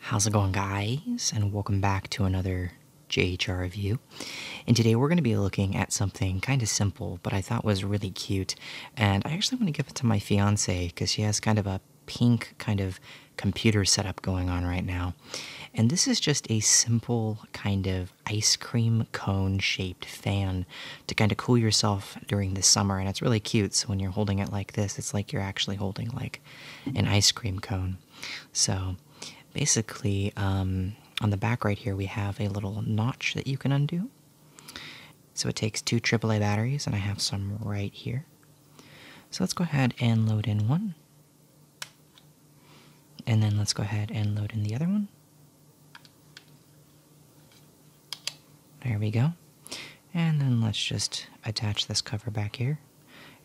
How's it going guys? And welcome back to another JHR review. And today we're going to be looking at something kind of simple, but I thought was really cute. And I actually want to give it to my fiance because she has kind of a pink kind of computer setup going on right now. And this is just a simple kind of ice cream cone shape fan to kind of cool yourself during the summer. And it's really cute. So when you're holding it like this, it's like you're actually holding like an ice cream cone. So basically, um, on the back right here, we have a little notch that you can undo. So it takes two AAA batteries, and I have some right here. So let's go ahead and load in one. And then let's go ahead and load in the other one. There we go. And then let's just attach this cover back here.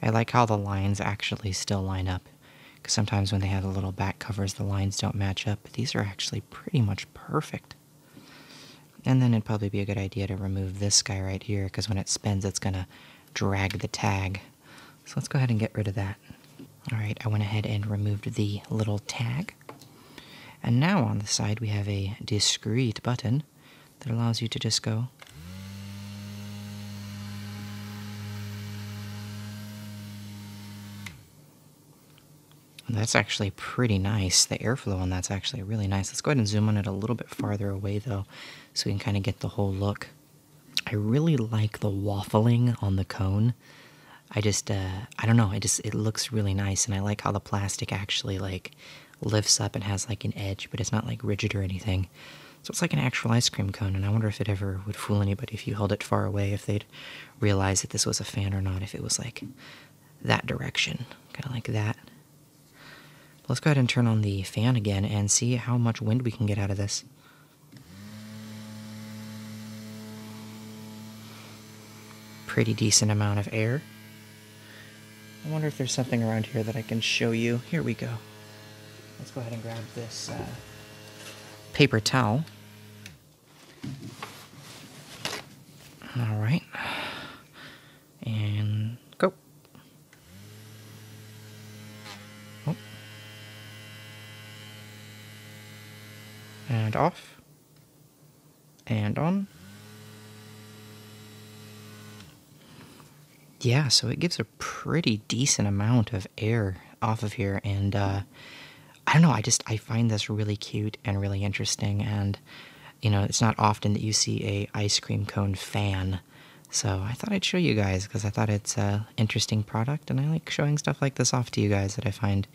I like how the lines actually still line up. Because sometimes when they have the little back covers, the lines don't match up. But these are actually pretty much perfect. And then it'd probably be a good idea to remove this guy right here. Because when it spins, it's going to drag the tag. So let's go ahead and get rid of that. Alright, I went ahead and removed the little tag. And now on the side we have a discrete button that allows you to just go That's actually pretty nice. The airflow on that's actually really nice. Let's go ahead and zoom on it a little bit farther away though, so we can kind of get the whole look. I really like the waffling on the cone. I just uh, I don't know. It just it looks really nice, and I like how the plastic actually like lifts up and has like an edge, but it's not like rigid or anything. So it's like an actual ice cream cone, and I wonder if it ever would fool anybody if you held it far away, if they'd realize that this was a fan or not, if it was like that direction, kind of like that. let's go ahead and turn on the fan again and see how much wind we can get out of this pretty decent amount of air. I wonder if there's something around here that I can show you. Here we go. Let's go ahead and grab this uh, paper towel. All right. And go. Oh. And off and on. Yeah, so it gives a pretty decent amount of air off of here, and uh, I don't know, I just, I find this really cute and really interesting, and, you know, it's not often that you see a ice cream cone fan, so I thought I'd show you guys, because I thought it's an interesting product, and I like showing stuff like this off to you guys that I find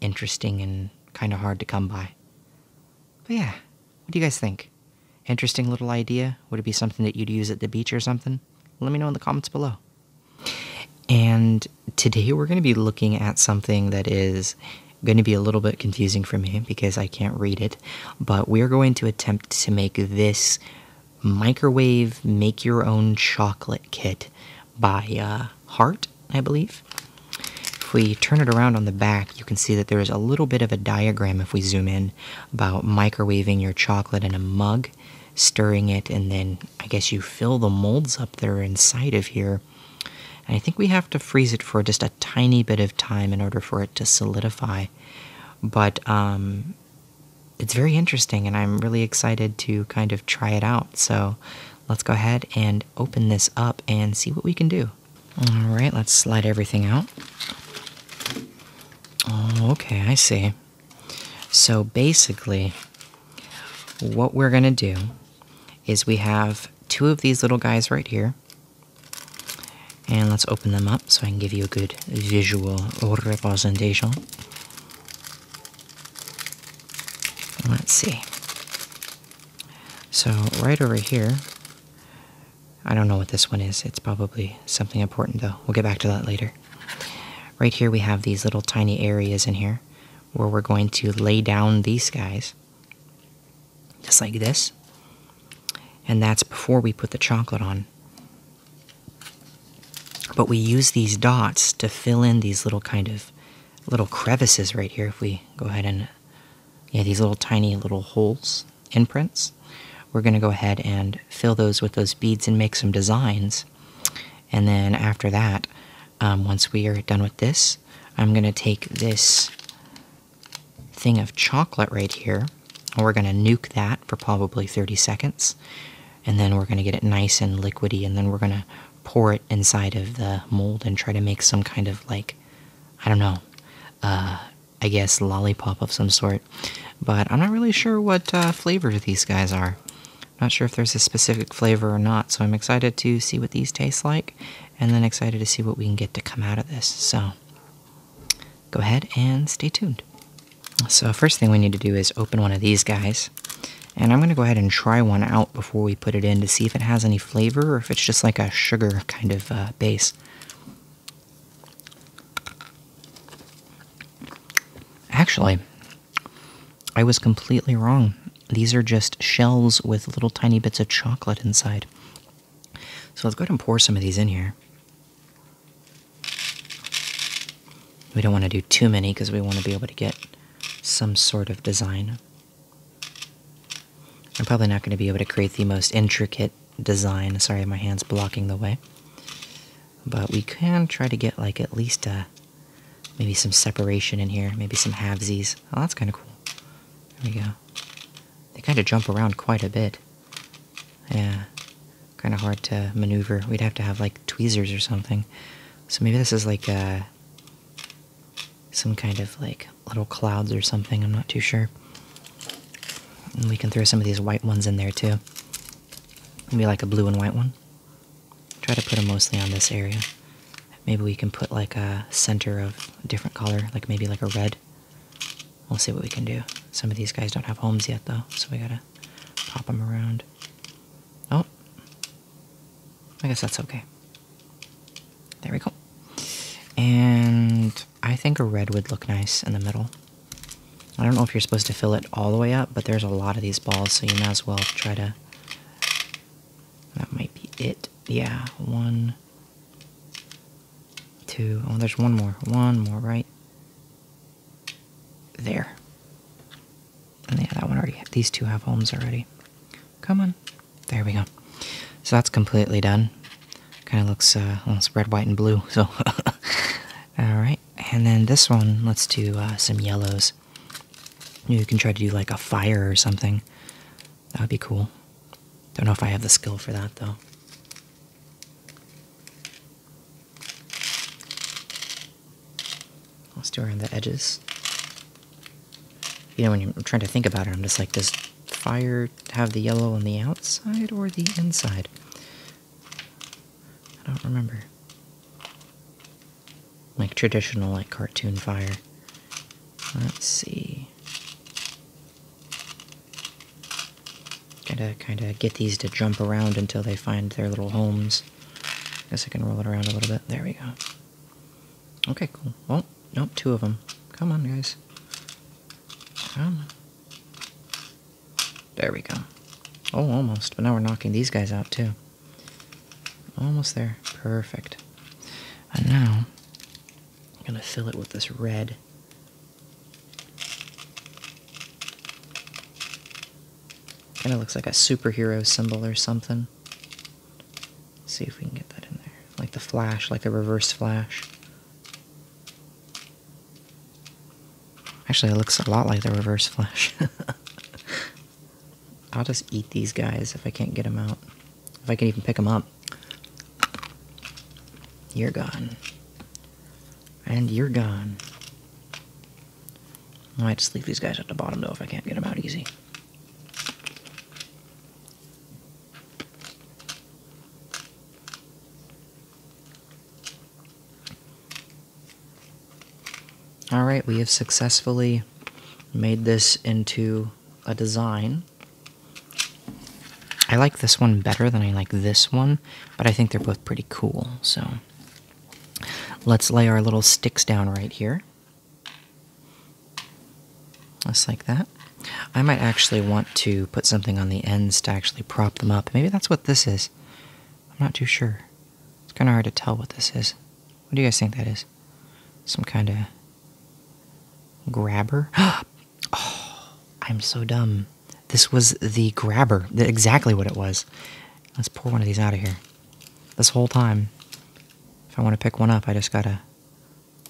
interesting and kind of hard to come by. But yeah, what do you guys think? Interesting little idea? Would it be something that you'd use at the beach or something? Let me know in the comments below. And today we're going to be looking at something that is going to be a little bit confusing for me because I can't read it, but we're going to attempt to make this microwave make your own chocolate kit by Heart uh, I believe. If we turn it around on the back, you can see that there is a little bit of a diagram if we zoom in about microwaving your chocolate in a mug, stirring it, and then I guess you fill the molds up that are inside of here. And I think we have to freeze it for just a tiny bit of time in order for it to solidify. But um, it's very interesting, and I'm really excited to kind of try it out. So let's go ahead and open this up and see what we can do. All right, let's slide everything out. okay, I see. So basically, what we're gonna do is we have two of these little guys right here. And let's open them up so I can give you a good visual representation. Let's see. So, right over here, I don't know what this one is. It's probably something important, though. We'll get back to that later. Right here, we have these little tiny areas in here where we're going to lay down these guys, just like this. And that's before we put the chocolate on. But we use these dots to fill in these little kind of little crevices right here if we go ahead and yeah these little tiny little holes imprints we're going to go ahead and fill those with those beads and make some designs and then after that um, once we are done with this i'm going to take this thing of chocolate right here and we're going to nuke that for probably 30 seconds and then we're going to get it nice and liquidy and then we're going to pour it inside of the mold and try to make some kind of like i don't know uh, i guess lollipop of some sort but i'm not really sure what uh, flavor these guys are not sure if there's a specific flavor or not so i'm excited to see what these taste like and then excited to see what we can get to come out of this so go ahead and stay tuned so first thing we need to do is open one of these guys and I'm going to go ahead and try one out before we put it in to see if it has any flavor or if it's just like a sugar kind of uh, base. Actually, I was completely wrong. These are just shells with little tiny bits of chocolate inside. So let's go ahead and pour some of these in here. We don't want to do too many because we want to be able to get some sort of design. I'm probably not going to be able to create the most intricate design. Sorry, my hand's blocking the way. But we can try to get like at least a, uh, maybe some separation in here, maybe some halvesies. Oh, that's kind of cool. There we go. They kind of jump around quite a bit. Yeah, kind of hard to maneuver. We'd have to have like tweezers or something. So maybe this is like uh, some kind of like little clouds or something. I'm not too sure. And we can throw some of these white ones in there too. Maybe like a blue and white one. Try to put them mostly on this area. Maybe we can put like a center of different color, like maybe like a red. We'll see what we can do. Some of these guys don't have homes yet though, so we gotta pop them around. Oh, I guess that's okay. There we go. And I think a red would look nice in the middle. I don't know if you're supposed to fill it all the way up, but there's a lot of these balls, so you might as well try to... That might be it. Yeah, one, two... Oh, there's one more. One more, right? There yeah, that one already, these two have homes already. Come on. There we go. So that's completely done. Kind of looks, uh, almost red, white, and blue, so. Alright, and then this one, let's do uh, some yellows. You can try to do like a fire or something. That would be cool. Don't know if I have the skill for that, though. Let's do around the edges. You know, when I'm trying to think about it, I'm just like, does fire have the yellow on the outside or the inside? I don't remember. Like traditional, like cartoon fire. Let's see. Gotta kind of get these to jump around until they find their little homes guess I can roll it around a little bit. There we go. Okay, cool. Oh nope, two of them. Come on, guys. There we go. Oh, almost. But now we're knocking these guys out, too. Almost there. Perfect. And now, I'm going to fill it with this red. Kind of looks like a superhero symbol or something. see if we can get that in there. Like the flash, like the reverse flash. Actually, it looks a lot like the reverse flash. I'll just eat these guys if I can't get them out. If I can even pick them up. You're gone. And you're gone. I might just leave these guys at the bottom though if I can't get them out easy. Alright, we have successfully made this into a design. I like this one better than I like this one, but I think they're both pretty cool, so Let's lay our little sticks down right here. Just like that. I might actually want to put something on the ends to actually prop them up. Maybe that's what this is. I'm not too sure. It's kind of hard to tell what this is. What do you guys think that is? Some kind of grabber? Oh, I'm so dumb. This was the grabber. Exactly what it was. Let's pour one of these out of here. This whole time. If I want to pick one up, I just gotta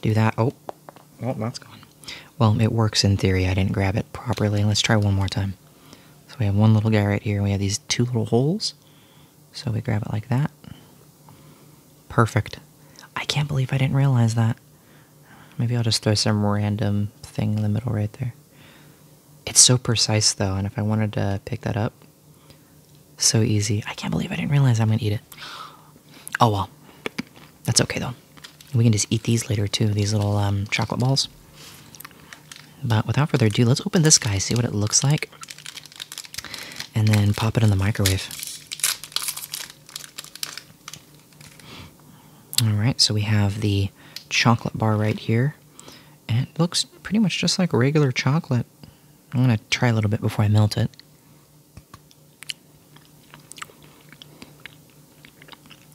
do that. Oh, well, that's gone. Well, it works in theory. I didn't grab it properly. Let's try one more time. So we have one little guy right here. We have these two little holes. So we grab it like that. Perfect. I can't believe I didn't realize that. Maybe I'll just throw some random thing in the middle right there. It's so precise though, and if I wanted to pick that up, so easy. I can't believe I didn't realize I'm gonna eat it. Oh well, that's okay though. We can just eat these later too, these little um, chocolate balls. But without further ado, let's open this guy, see what it looks like, and then pop it in the microwave. Alright, so we have the chocolate bar right here, it looks pretty much just like regular chocolate. I'm going to try a little bit before I melt it.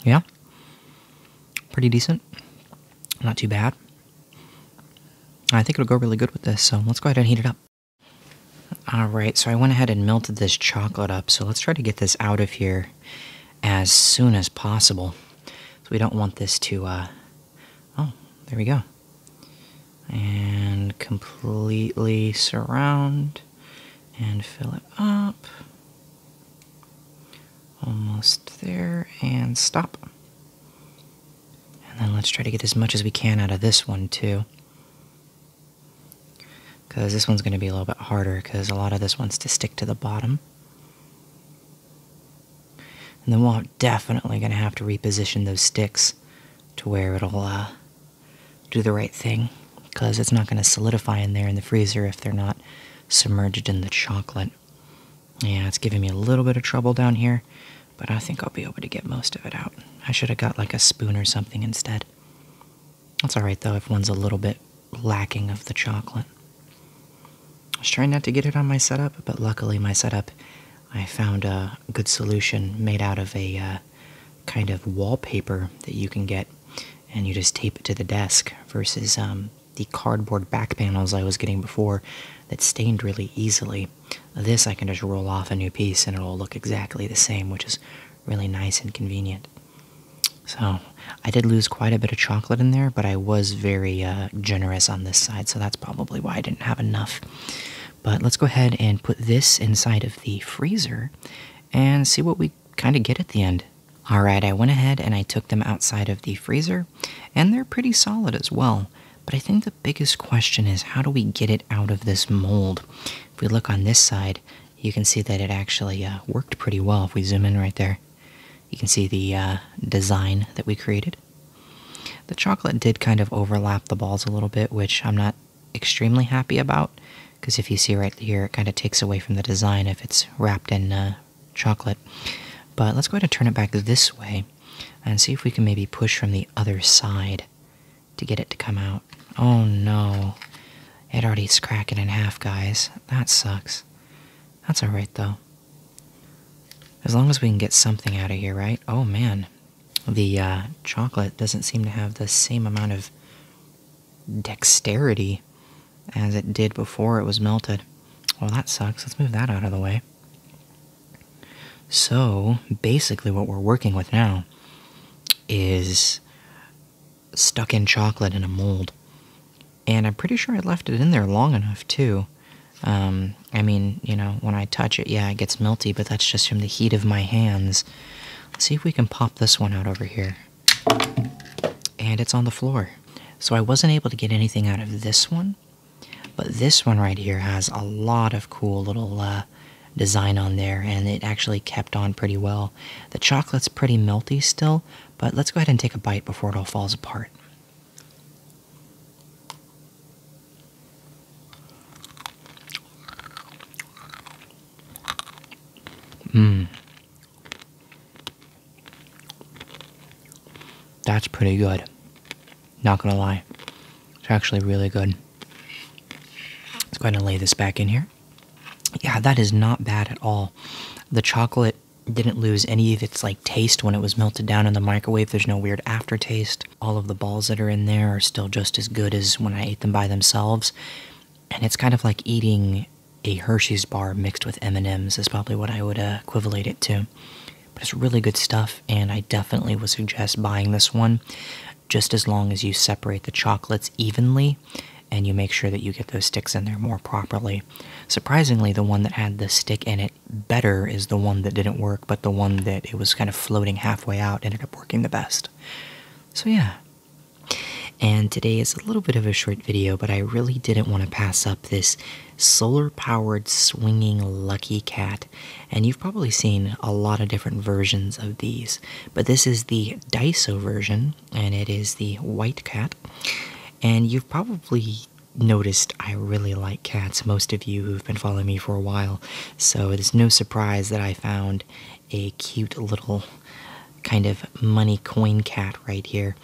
Yeah. Pretty decent. Not too bad. I think it'll go really good with this, so let's go ahead and heat it up. Alright, so I went ahead and melted this chocolate up, so let's try to get this out of here as soon as possible. So we don't want this to, uh, oh, there we go. And completely surround and fill it up. Almost there, and stop. And then let's try to get as much as we can out of this one too. Because this one's going to be a little bit harder because a lot of this wants to stick to the bottom. And then we're definitely going to have to reposition those sticks to where it'll uh, do the right thing because it's not going to solidify in there in the freezer if they're not submerged in the chocolate. Yeah, it's giving me a little bit of trouble down here, but I think I'll be able to get most of it out. I should have got like a spoon or something instead. That's alright though if one's a little bit lacking of the chocolate. I was trying not to get it on my setup, but luckily, my setup I found a good solution made out of a uh, kind of wallpaper that you can get, and you just tape it to the desk versus um, the cardboard back panels I was getting before that stained really easily. This I can just roll off a new piece and it'll look exactly the same, which is really nice and convenient. So I did lose quite a bit of chocolate in there, but I was very uh, generous on this side, so that's probably why I didn't have enough. But let's go ahead and put this inside of the freezer and see what we kind of get at the end. All right, I went ahead and I took them outside of the freezer, and they're pretty solid as well. But I think the biggest question is how do we get it out of this mold? If we look on this side, you can see that it actually uh, worked pretty well if we zoom in right there. You can see the uh, design that we created. The chocolate did kind of overlap the balls a little bit, which I'm not extremely happy about, because if you see right here, it kind of takes away from the design if it's wrapped in uh, chocolate. But let's go ahead and turn it back this way and see if we can maybe push from the other side to get it to come out. Oh no. It already's cracking in half, guys. That sucks. That's alright though. As long as we can get something out of here, right? Oh man, the uh, chocolate doesn't seem to have the same amount of dexterity as it did before it was melted. Well, that sucks. Let's move that out of the way. So, basically, what we're working with now is stuck in chocolate in a mold and I'm pretty sure I left it in there long enough too. Um, I mean, you know, when I touch it, yeah, it gets melty, but that's just from the heat of my hands. Let's see if we can pop this one out over here. And it's on the floor. So I wasn't able to get anything out of this one, but this one right here has a lot of cool little uh, design on there, and it actually kept on pretty well. The chocolate's pretty melty still, but let's go ahead and take a bite before it all falls apart. Mmm. That's pretty good. Not gonna lie. It's actually really good. Let's go ahead and lay this back in here. Yeah, that is not bad at all. The chocolate didn't lose any of its like taste when it was melted down in the microwave. There's no weird aftertaste. All of the balls that are in there are still just as good as when I ate them by themselves. And it's kind of like eating a Hershey's bar mixed with M&Ms is probably what I would uh, equate it to. But it's really good stuff and I definitely would suggest buying this one just as long as you separate the chocolates evenly and you make sure that you get those sticks in there more properly. Surprisingly, the one that had the stick in it better is the one that didn't work, but the one that it was kind of floating halfway out ended up working the best. So, yeah. And today is a little bit of a short video, but I really didn't want to pass up this solar powered swinging lucky cat. And you've probably seen a lot of different versions of these, but this is the Daiso version, and it is the white cat. And you've probably noticed I really like cats, most of you who've been following me for a while. So it is no surprise that I found a cute little kind of money coin cat right here.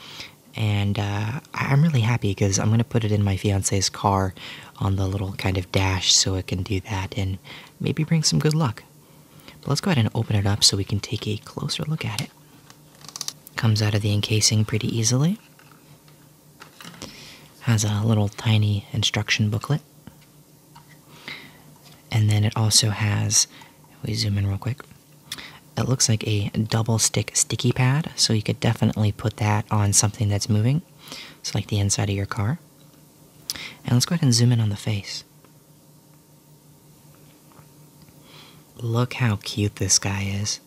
And uh, I'm really happy because I'm going to put it in my fiance's car on the little kind of dash so it can do that and maybe bring some good luck. But let's go ahead and open it up so we can take a closer look at it. Comes out of the encasing pretty easily. Has a little tiny instruction booklet. And then it also has, we zoom in real quick, it looks like a double stick sticky pad, so you could definitely put that on something that's moving. It's like the inside of your car. And let's go ahead and zoom in on the face. Look how cute this guy is.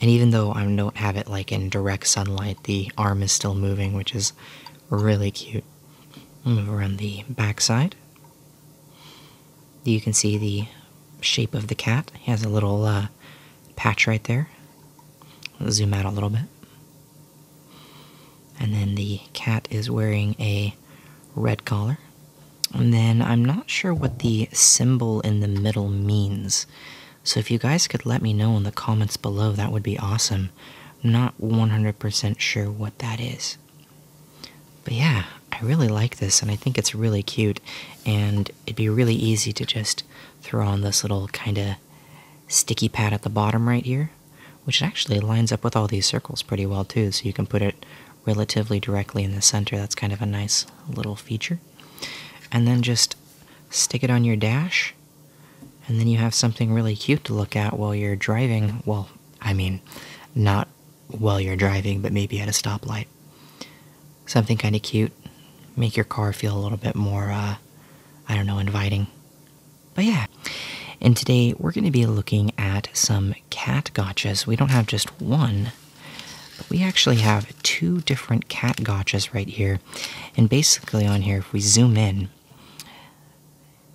And even though I don't have it like in direct sunlight, the arm is still moving, which is really cute. I'll move around the backside. You can see the shape of the cat. He has a little uh, patch right there. zoom out a little bit. And then the cat is wearing a red collar. And then I'm not sure what the symbol in the middle means. So if you guys could let me know in the comments below, that would be awesome. I'm not 100% sure what that is. But yeah, I really like this and I think it's really cute. And it'd be really easy to just throw on this little kind of sticky pad at the bottom right here, which actually lines up with all these circles pretty well too. So you can put it relatively directly in the center. That's kind of a nice little feature. And then just stick it on your dash, and then you have something really cute to look at while you're driving. Well, I mean, not while you're driving, but maybe at a stoplight. Something kind of cute. Make your car feel a little bit more, uh, I don't know, inviting. But yeah. And today we're going to be looking at some cat gotchas. We don't have just one, we actually have two different cat gotchas right here. And basically, on here, if we zoom in,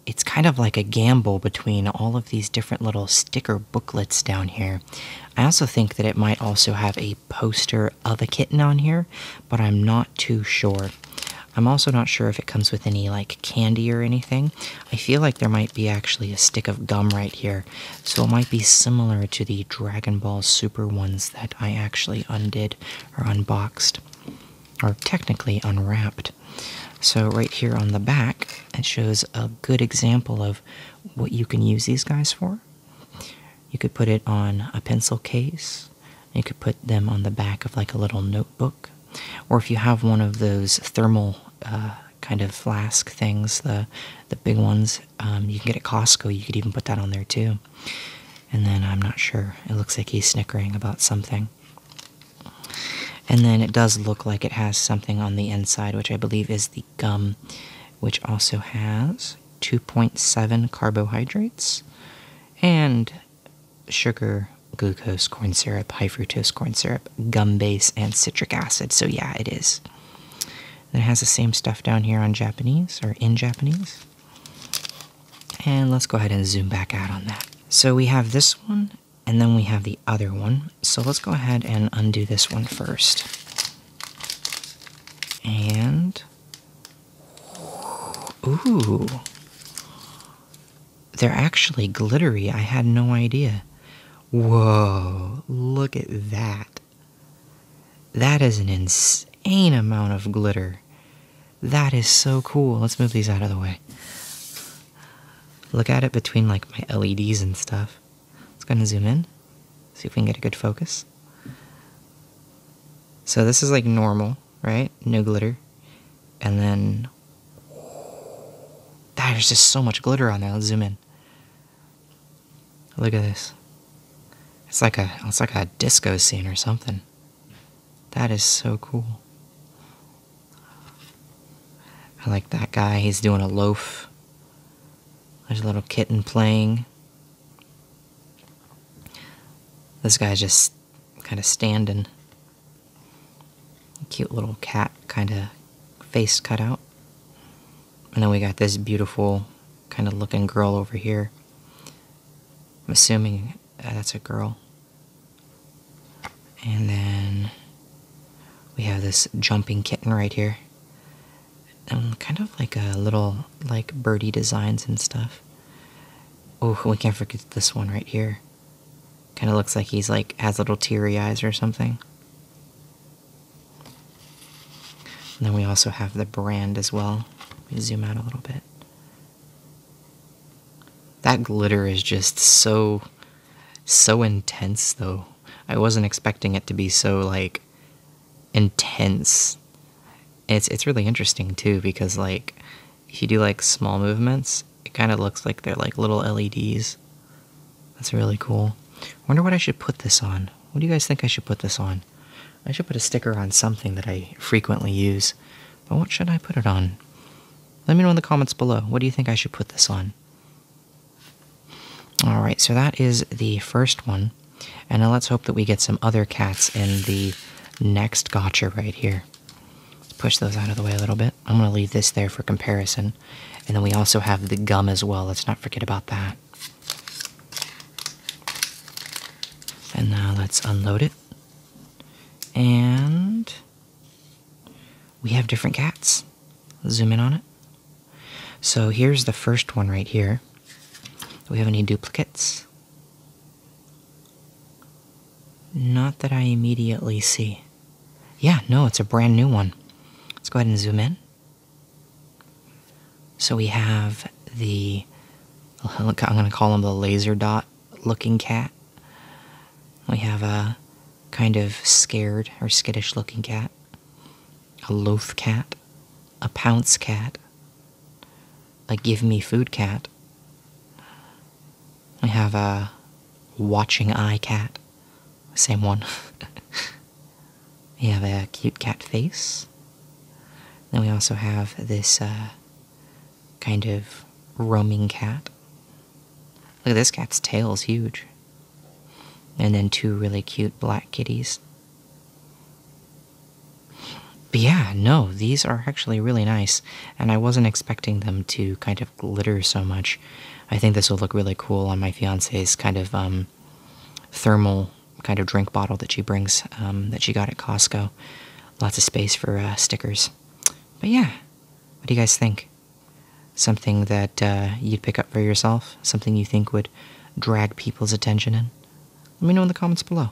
it's kind of like a gamble between all of these different little sticker booklets down here. I also think that it might also have a poster of a kitten on here, but I'm not too sure. I'm also not sure if it comes with any like candy or anything, I feel like there might be actually a stick of gum right here, so it might be similar to the Dragon Ball Super ones that I actually undid or unboxed, or technically unwrapped. So, right here on the back, it shows a good example of what you can use these guys for. You could put it on a pencil case, you could put them on the back of like a little notebook, or if you have one of those thermal uh, kind of flask things, the the big ones. Um, you can get at Costco. You could even put that on there too. And then I'm not sure. It looks like he's snickering about something. And then it does look like it has something on the inside, which I believe is the gum, which also has 2.7 carbohydrates and sugar glucose, corn syrup, high fructose corn syrup, gum base, and citric acid. So, yeah, it is. it has the same stuff down here on Japanese or in Japanese. And let's go ahead and zoom back out on that. So, we have this one and then we have the other one. So, let's go ahead and undo this one first. And. Ooh they're actually glittery. I had no idea. Whoa, look at that. That is an insane amount of glitter. That is so cool. Let's move these out of the way. Look at it between like my LEDs and stuff. Let's go and zoom in. See if we can get a good focus. So this is like normal, right? No glitter. And then there's just so much glitter on there. Let's zoom in. Look at this. It's like a it's like a disco scene or something. That is so cool. I like that guy. He's doing a loaf. There's a little kitten playing. This guy's just kind of standing. Cute little cat kind of face cutout, And then we got this beautiful kind of looking girl over here. I'm assuming uh, that's a girl. And then we have this jumping kitten right here. Um, kind of like a little like birdie designs and stuff. Oh, we can't forget this one right here. Kind of looks like he's like has little teary eyes or something. And then we also have the brand as well. zoom out a little bit. That glitter is just so, so intense though. I wasn't expecting it to be so like intense. It's it's really interesting too because like if you do like small movements, it kind of looks like they're like little LEDs. That's really cool. Wonder what I should put this on. What do you guys think I should put this on? I should put a sticker on something that I frequently use. But what should I put it on? Let me know in the comments below. What do you think I should put this on? All right, so that is the first one. And now let's hope that we get some other cats in the next gotcha right here. Let's push those out of the way a little bit. I'm going to leave this there for comparison. And then we also have the gum as well. Let's not forget about that. And now let's unload it. And we have different cats. Zoom in on it. So here's the first one right here. Do we have any duplicates? Not that I immediately see. Yeah, no, it's a brand new one. Let's go ahead and zoom in. So we have the, I'm going to call him the laser dot looking cat. We have a kind of scared or skittish looking cat, a loaf cat, a pounce cat, a give me food cat, we have a watching eye cat, same one. we have a cute cat face. Then we also have this uh, kind of roaming cat. Look at this cat's tail is huge. And then two really cute black kitties. But yeah, no, these are actually really nice and I wasn't expecting them to kind of glitter so much. I think this will look really cool on my fiance's kind of um, thermal kind of drink bottle that she brings, um, that she got at Costco. Lots of space for uh, stickers. But yeah, what do you guys think? Something that uh, you'd pick up for yourself? Something you think would drag people's attention in? Let me know in the comments below.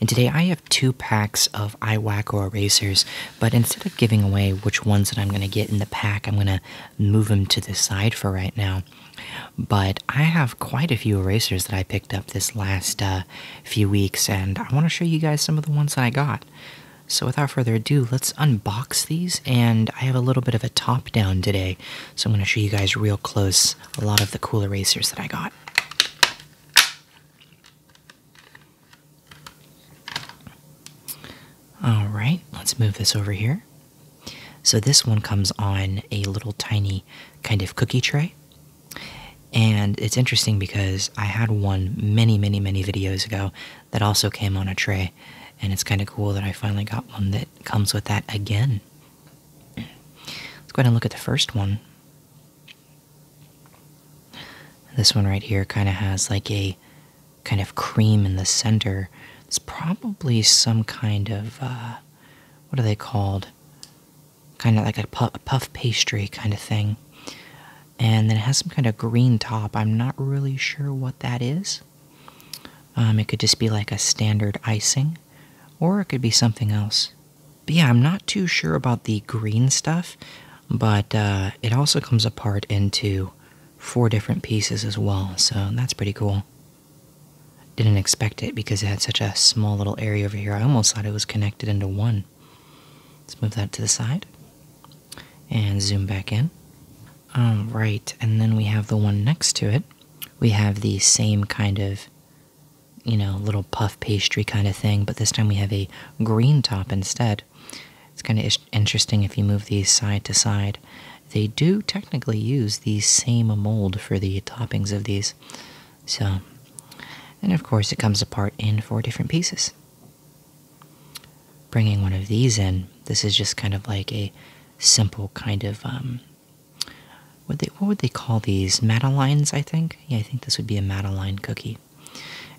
And today I have two packs of iWacko erasers, but instead of giving away which ones that I'm going to get in the pack, I'm going to move them to the side for right now. But I have quite a few erasers that I picked up this last uh, few weeks, and I want to show you guys some of the ones that I got. So without further ado, let's unbox these, and I have a little bit of a top down today, so I'm going to show you guys real close a lot of the cool erasers that I got. All right, let's move this over here. So this one comes on a little tiny kind of cookie tray. And it's interesting because I had one many, many, many videos ago that also came on a tray. And it's kind of cool that I finally got one that comes with that again. Let's go ahead and look at the first one. This one right here kind of has like a kind of cream in the center. It's probably some kind of, uh, what are they called? Kind of like a puff, pastry kind of thing. And then it has some kind of green top. I'm not really sure what that is. Um, it could just be like a standard icing, or it could be something else. But yeah, I'm not too sure about the green stuff, but uh, it also comes apart into four different pieces as well, so that's pretty cool. Didn't expect it because it had such a small little area over here. I almost thought it was connected into one. Let's move that to the side and zoom back in. All right, and then we have the one next to it. We have the same kind of you know, little puff pastry kind of thing, but this time we have a green top instead. It's kind of interesting if you move these side to side. They do technically use the same mold for the toppings of these. So, and of course, it comes apart in four different pieces. Bringing one of these in, this is just kind of like a simple kind of um, what they what would they call these Madeleines? I think yeah, I think this would be a Madeleine cookie,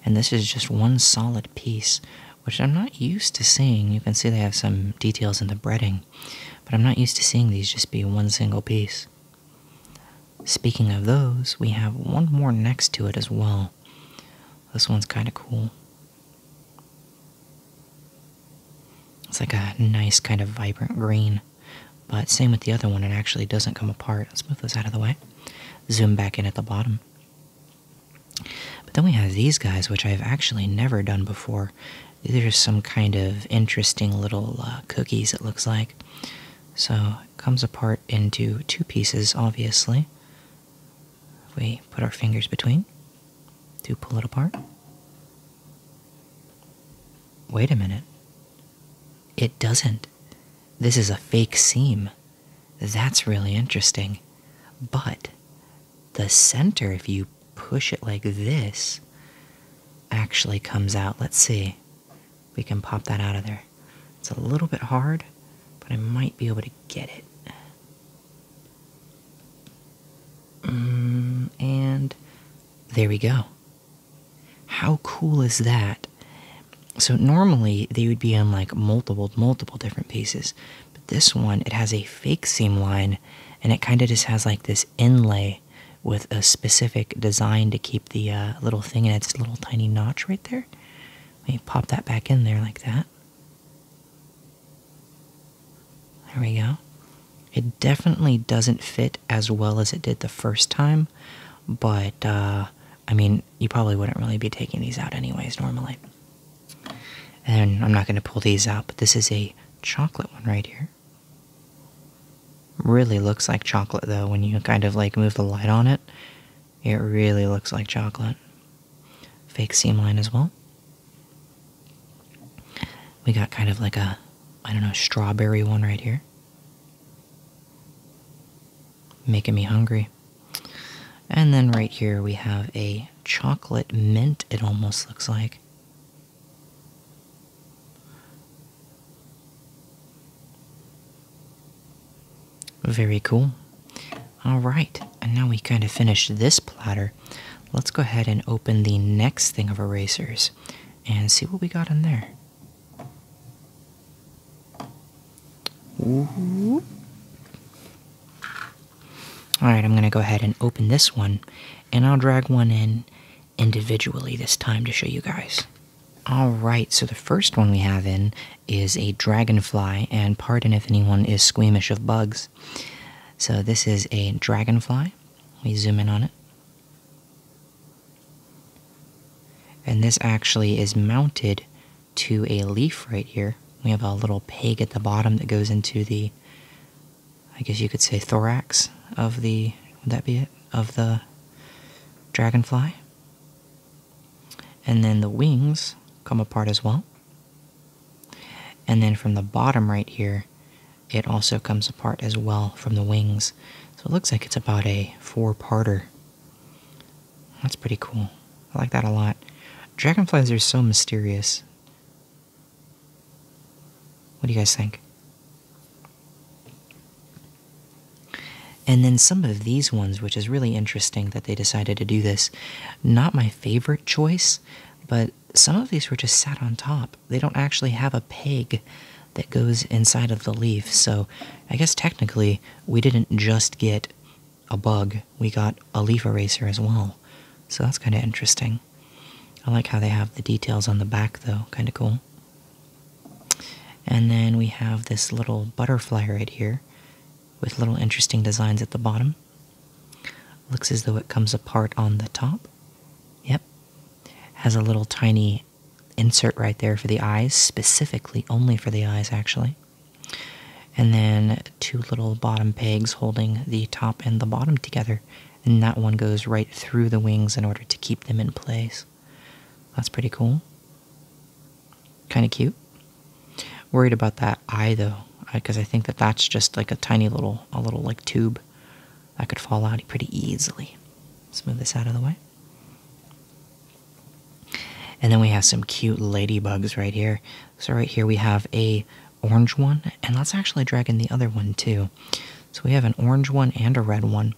and this is just one solid piece, which I'm not used to seeing. You can see they have some details in the breading, but I'm not used to seeing these just be one single piece. Speaking of those, we have one more next to it as well. This one's kind of cool. It's like a nice kind of vibrant green. But same with the other one, it actually doesn't come apart. Let's move those out of the way. Zoom back in at the bottom. But then we have these guys, which I've actually never done before. These There's some kind of interesting little uh, cookies, it looks like. So it comes apart into two pieces, obviously. we put our fingers between to pull it apart. Wait a minute. It doesn't. This is a fake seam. That's really interesting. But the center, if you push it like this, actually comes out. Let's see. We can pop that out of there. It's a little bit hard, but I might be able to get it. Mm, and there we go. How cool is that? So normally they would be on like multiple, multiple different pieces, but this one it has a fake seam line, and it kind of just has like this inlay with a specific design to keep the uh, little thing in its little tiny notch right there. Let me pop that back in there like that. There we go. It definitely doesn't fit as well as it did the first time, but, uh, I mean, you probably wouldn't really be taking these out anyways normally. And I'm not going to pull these out, but this is a chocolate one right here. Really looks like chocolate though when you kind of like move the light on it. It really looks like chocolate. Fake seam line as well. We got kind of like a, I don't know, strawberry one right here. Making me hungry. And then right here we have a chocolate mint, it almost looks like. Very cool. All right, and now we kind of finished this platter. Let's go ahead and open the next thing of erasers and see what we got in there. Mm-hmm. All right, I'm going to go ahead and open this one, and I'll drag one in individually this time to show you guys. All right, so the first one we have in is a dragonfly, and pardon if anyone is squeamish of bugs. So this is a dragonfly. We zoom in on it. And this actually is mounted to a leaf right here. We have a little peg at the bottom that goes into the, I guess you could say, thorax of the, would that be it? Of the dragonfly. And then the wings come apart as well. And then from the bottom right here, it also comes apart as well from the wings. So it looks like it's about a four parter. That's pretty cool. I like that a lot. Dragonflies are so mysterious. What do you guys think? And then some of these ones, which is really interesting that they decided to do this. Not my favorite choice, but some of these were just sat on top. They don't actually have a peg that goes inside of the leaf. So I guess technically we didn't just get a bug, we got a leaf eraser as well. So that's kind of interesting. I like how they have the details on the back though, kind of cool. And then we have this little butterfly right here with little interesting designs at the bottom. Looks as though it comes apart on the top. Yep. Has a little tiny insert right there for the eyes, specifically only for the eyes, actually. And then two little bottom pegs holding the top and the bottom together. And that one goes right through the wings in order to keep them in place. That's pretty cool. Kind of cute. Worried about that eye though, because uh, I think that that's just like a tiny little, a little like tube I could fall out pretty easily. Let's move this out of the way. And then we have some cute ladybugs right here. So right here we have a orange one, and let's actually drag in the other one too. So we have an orange one and a red one.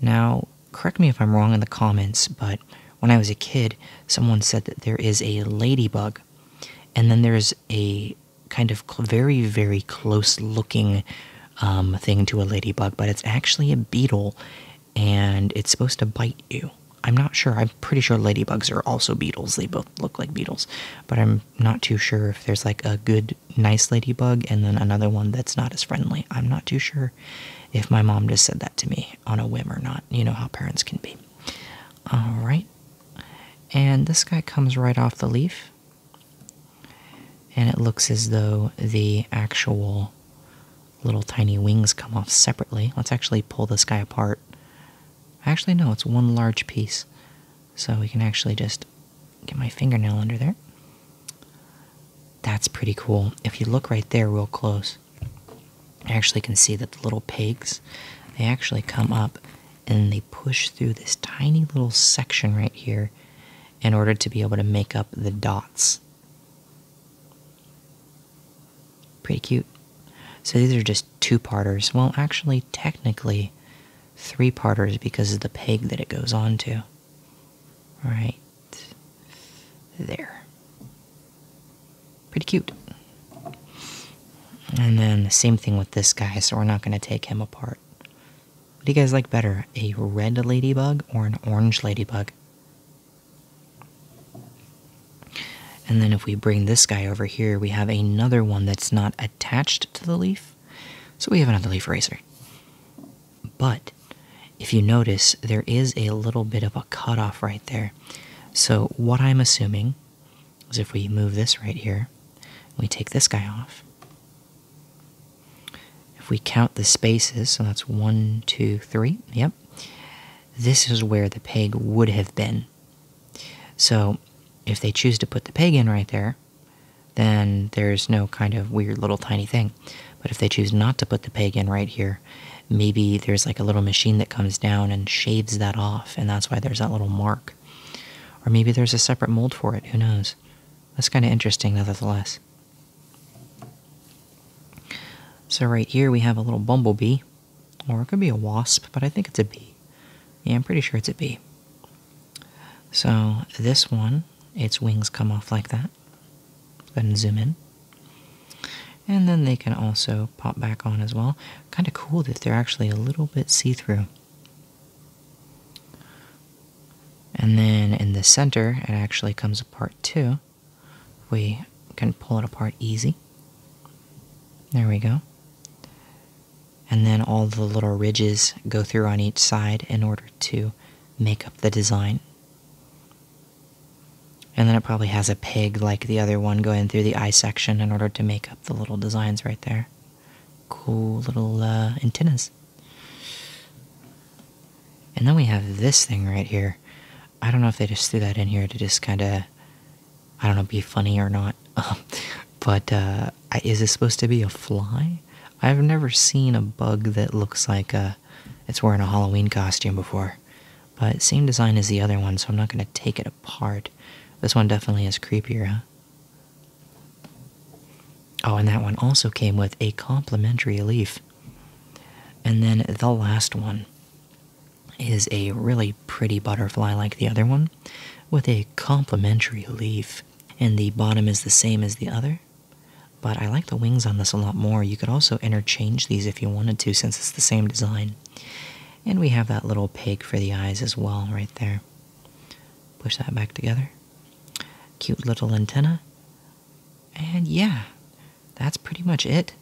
Now, correct me if I'm wrong in the comments, but when I was a kid, someone said that there is a ladybug, and then there's a kind of very, very close looking um, thing to a ladybug, but it's actually a beetle and it's supposed to bite you. I'm not sure. I'm pretty sure ladybugs are also beetles. They both look like beetles, but I'm not too sure if there's like a good, nice ladybug and then another one that's not as friendly. I'm not too sure if my mom just said that to me on a whim or not. You know how parents can be. All right. And this guy comes right off the leaf. And it looks as though the actual little tiny wings come off separately. Let's actually pull this guy apart. Actually, no, it's one large piece. So we can actually just get my fingernail under there. That's pretty cool. If you look right there real close, I actually can see that the little pegs they actually come up and they push through this tiny little section right here in order to be able to make up the dots. Pretty cute. So these are just two parters. Well, actually, technically, three parters because of the peg that it goes on to. Right there. Pretty cute. And then the same thing with this guy, so we're not going to take him apart. What do you guys like better, a red ladybug or an orange ladybug? And then if we bring this guy over here, we have another one that's not attached to the leaf. So we have another leaf eraser. But if you notice, there is a little bit of a cutoff right there. So what I'm assuming is if we move this right here, we take this guy off, if we count the spaces, so that's one, two, three, yep, this is where the peg would have been. So if they choose to put the peg in right there, then there's no kind of weird little tiny thing. But if they choose not to put the peg in right here, maybe there's like a little machine that comes down and shaves that off, and that's why there's that little mark. Or maybe there's a separate mold for it, who knows? That's kind of interesting, nevertheless. So right here we have a little bumblebee, or it could be a wasp, but I think it's a bee. Yeah, I'm pretty sure it's a bee. So this one, its wings come off like that. Go ahead zoom in. And then they can also pop back on as well. Kind of cool that they're actually a little bit see-through. And then in the center, it actually comes apart too. We can pull it apart easy. There we go. And then all the little ridges go through on each side in order to make up the design. And then it probably has a pig like the other one going through the eye section in order to make up the little designs right there cool little uh, antennas. And then we have this thing right here. I don't know if they just threw that in here to just kind of, I don't know, be funny or not. but uh, is this supposed to be a fly? I've never seen a bug that looks like uh, it's wearing a Halloween costume before. But same design as the other one, so I'm not going to take it apart. This one definitely is creepier, huh? Oh, and that one also came with a complimentary leaf. And then the last one is a really pretty butterfly like the other one with a complimentary leaf. And the bottom is the same as the other. But I like the wings on this a lot more. You could also interchange these if you wanted to, since it's the same design. And we have that little pig for the eyes as well, right there. Push that back together. Cute little antenna. And yeah, that's pretty much it.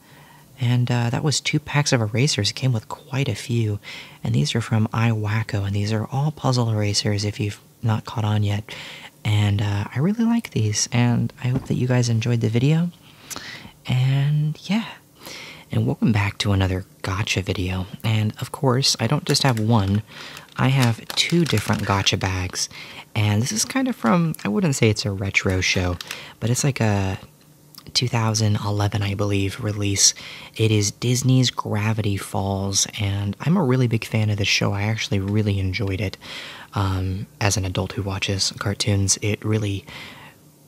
And uh, that was two packs of erasers. It came with quite a few. And these are from I iWacko, and these are all puzzle erasers if you've not caught on yet. And uh, I really like these, and I hope that you guys enjoyed the video. And yeah, and welcome back to another gotcha video. And of course, I don't just have one, I have two different gotcha bags. And this is kind of from, I wouldn't say it's a retro show, but it's like a 2011, I believe, release. It is Disney's Gravity Falls, and I'm a really big fan of this show. I actually really enjoyed it. Um, as an adult who watches cartoons, it really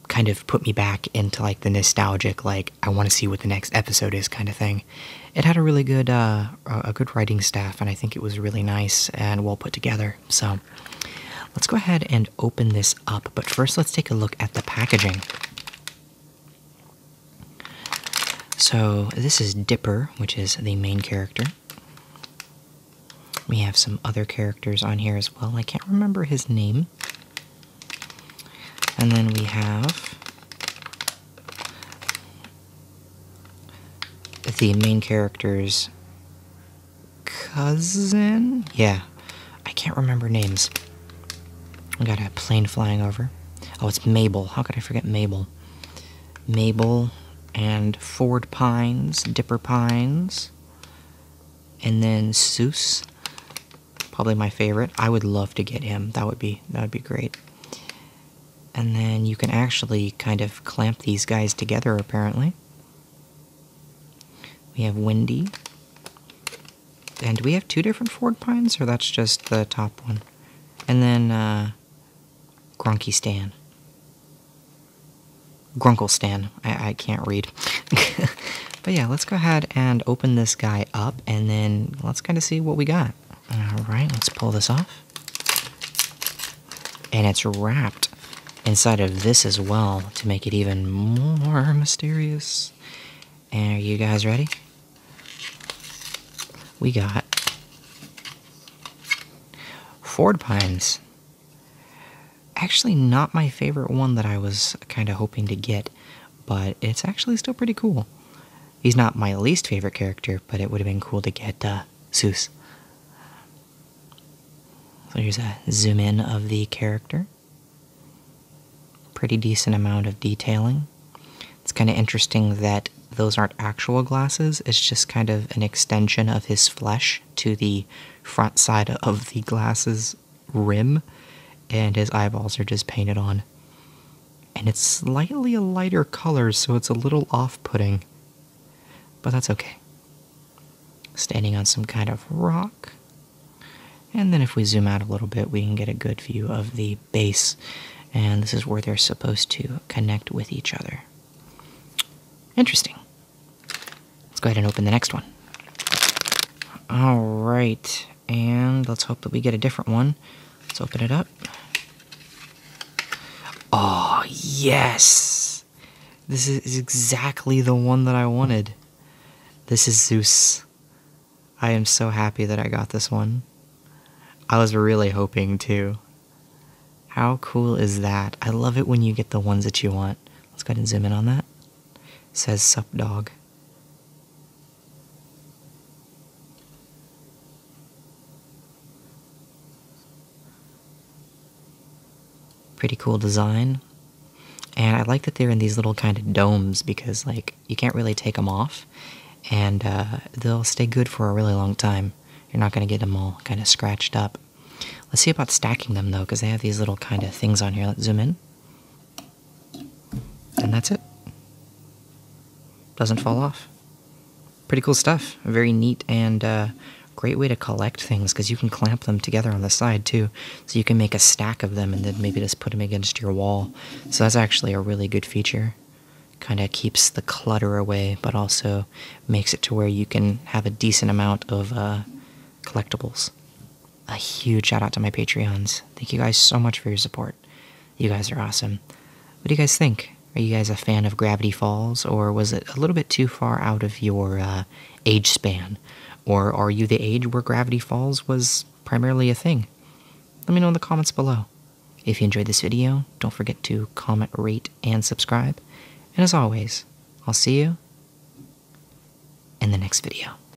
kind of put me back into like the nostalgic, like, I want to see what the next episode is kind of thing. It had a really good uh, a good writing staff, and I think it was really nice and well put together. So let's go ahead and open this up. But first, let's take a look at the packaging. So this is Dipper, which is the main character. We have some other characters on here as well. I can't remember his name. And then we have the main character's cousin? Yeah, I can't remember names. We got a plane flying over. Oh, it's Mabel. How could I forget Mabel? Mabel and Ford Pines, Dipper Pines, and then Seuss probably my favorite. I would love to get him. That would be that would be great. And then you can actually kind of clamp these guys together apparently. We have Windy. And do we have two different Ford Pines, or that's just the top one? And then uh, Grunky Stan. Grunkle Stan. I, I can't read. But yeah, let's go ahead and open this guy up and then let's kind of see what we got. All right, let's pull this off. And it's wrapped inside of this as well to make it even more mysterious. are you guys ready? We got Ford Pines. Actually, not my favorite one that I was kind of hoping to get but it's actually still pretty cool. He's not my least favorite character, but it would have been cool to get uh, Zeus. So here's a zoom in of the character. Pretty decent amount of detailing. It's kind of interesting that those aren't actual glasses, it's just kind of an extension of his flesh to the front side of the glasses rim, and his eyeballs are just painted on. And it's slightly a lighter color, so it's a little off putting. But that's okay. Standing on some kind of rock. And then if we zoom out a little bit, we can get a good view of the base. And this is where they're supposed to connect with each other. Interesting. Let's go ahead and open the next one. All right. And let's hope that we get a different one. Let's open it up. Oh, yes! This is exactly the one that I wanted. This is Zeus. I am so happy that I got this one. I was really hoping to. How cool is that? I love it when you get the ones that you want. Let's go ahead and zoom in on that. says sup dog. Pretty cool design. And I like that they're in these little kind of domes because, like, you can't really take them off and uh, they'll stay good for a really long time. You're not going to get them all kind of scratched up. Let's see about stacking them though, because they have these little kind of things on here. Let's zoom in. And that's it. Doesn't fall off. Pretty cool stuff. Very neat and uh, great way to collect things because you can clamp them together on the side too. So you can make a stack of them and then maybe just put them against your wall. So that's actually a really good feature kind of keeps the clutter away, but also makes it to where you can have a decent amount of uh, collectibles a huge shout out to my Patreons. Thank you guys so much for your support. You guys are awesome. What do you guys think? Are you guys a fan of Gravity Falls, or was it a little bit too far out of your uh, age span? Or are you the age where Gravity Falls was primarily a thing? Let me know in the comments below. If you enjoyed this video, don't forget to comment, rate, and subscribe. And as always, I'll see you in the next video.